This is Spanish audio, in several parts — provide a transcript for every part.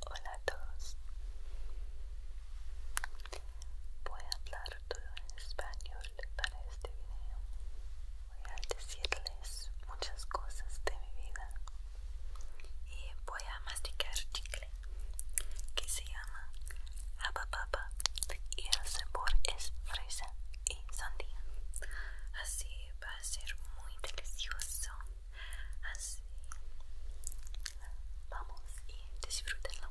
Hola a todos. Voy a hablar todo en español para este video. Voy a decirles muchas cosas de mi vida y voy a masticar chicle que se y el sabor es fresa y sandía. Así va a ser muy delicioso. Así vamos y disfrútenlo.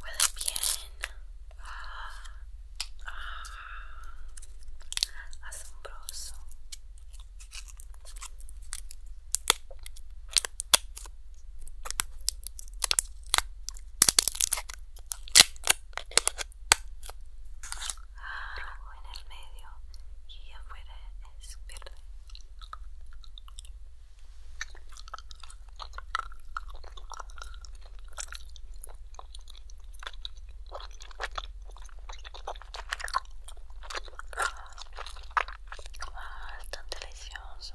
Huele bien. Ah. asombroso en el medio y afuera es verde Ah, es delicioso.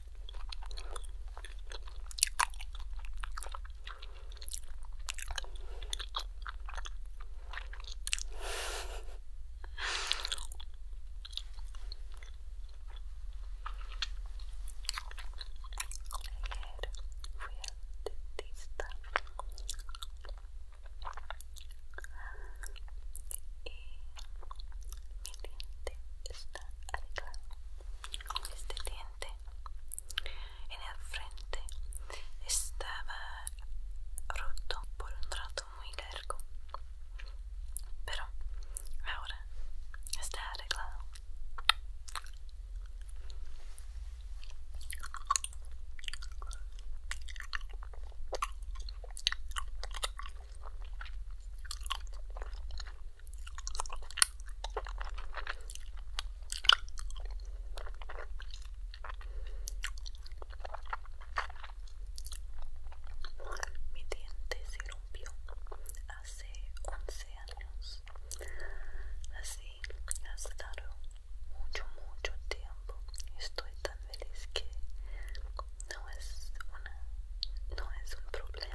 fui al dentista y mi diente está este diente en el frente estaba roto por un rato muy largo pero ahora está arreglado mi diente se rompió hace 11 años. Así ha estado mucho, mucho tiempo. Estoy tan feliz que no es, una, no es un problema.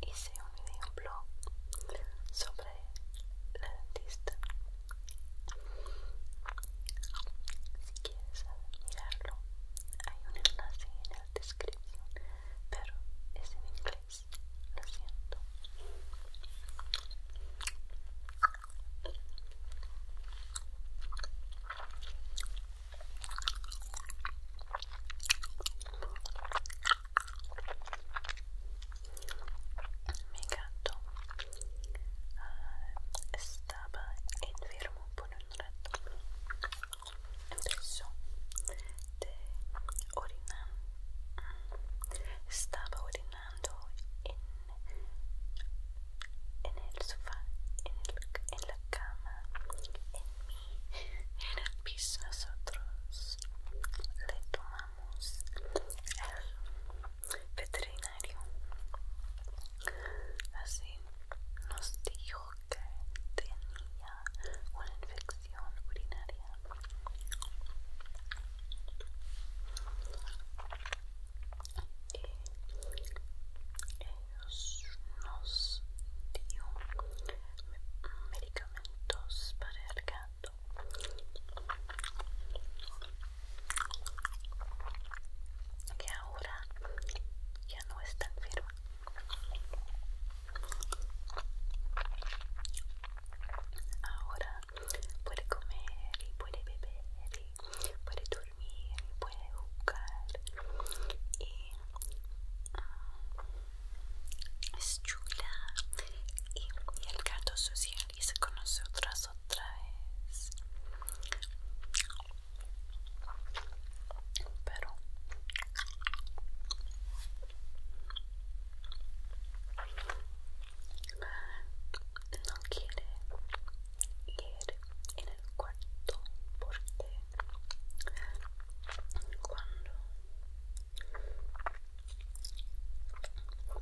hice un video blog sobre la dentista si quieres mirarlo hay un enlace en la descripción pero es en inglés lo siento mi gato ah, estaba enfermo por un rato. Empezó de orinar. Estaba orinando en, el sofá, en, la cama, en el nosotros le tomamos el veterinario así nos dijo que tenía una infección urinaria y eh, nos, dio medicamentos para el gato que ahora ya no está enferma ahora puede comer y puede beber y puede dormir y puede jugar y es chula y, el gato social y se conoce otras otra vez pero no quiere ir en el cuarto porque cuando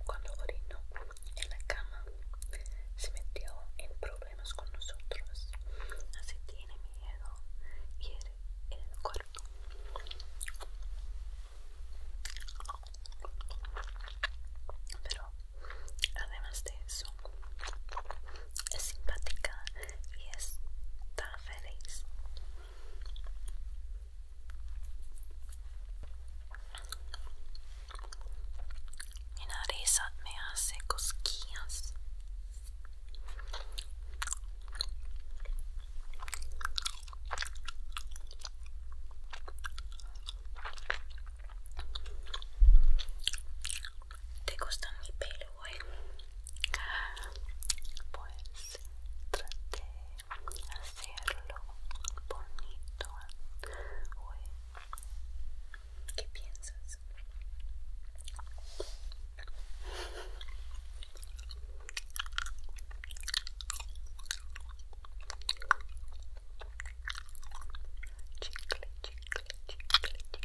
cuando orinó en la cama se metió en problemas con nosotros así tiene miedo en el cuerpo. pero además de eso es simpática y es tan feliz. Mi nariz me hace cosquillas te gusta mi pelo, ¿eh? pues trate de hacerlo bonito, eh? ¿qué piensas? Chicle, chicle, chicle, chicle.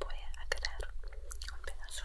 Voy a aclarar un pedazo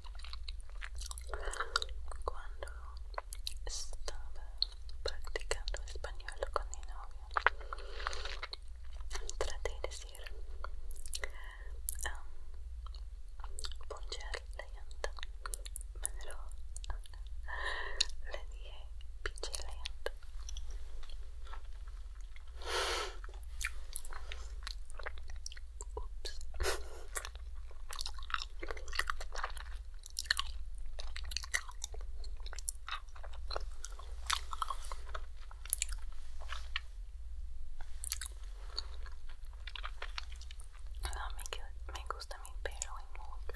Cuando estaba practicando español con mi novio, traté de decir um, la llanta, pero le dije pinche no, me, me gusta mi y mucho.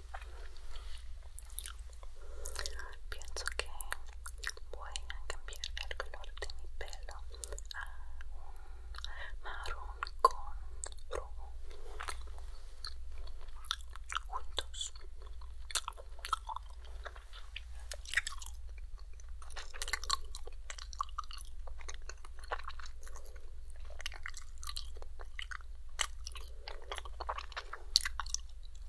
Pienso que voy a cambiar el color de mi pelo a un marrón con rojo juntos.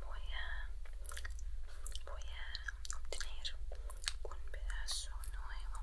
voy a voy a obtener un pedazo nuevo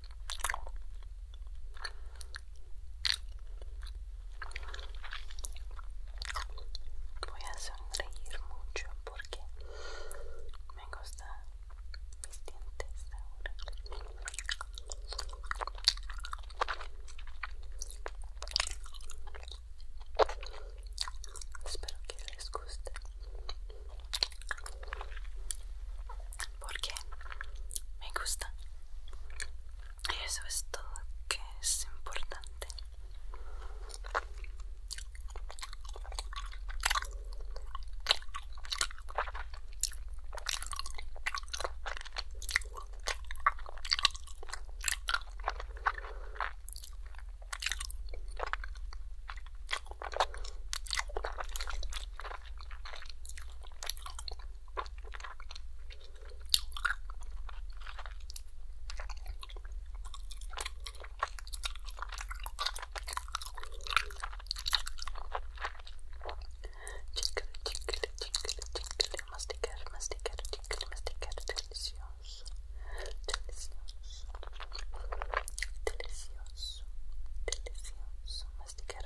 Voy a sonreír mucho porque me gustan mis dientes ahora. Espero que les guste porque me gusta y eso es todo que es importante Chicle, chicle, chicle, chicle, masticar, masticar, chicle, masticar, delicioso, delicioso, delicioso, delicioso, masticar,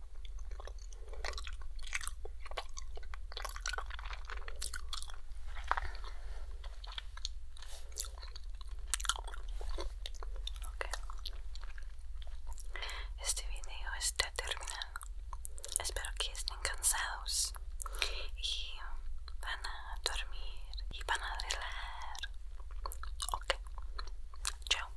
Este video está terminado. Espero que estén cansados y van a dormir y van a relajar. Ok. Chao.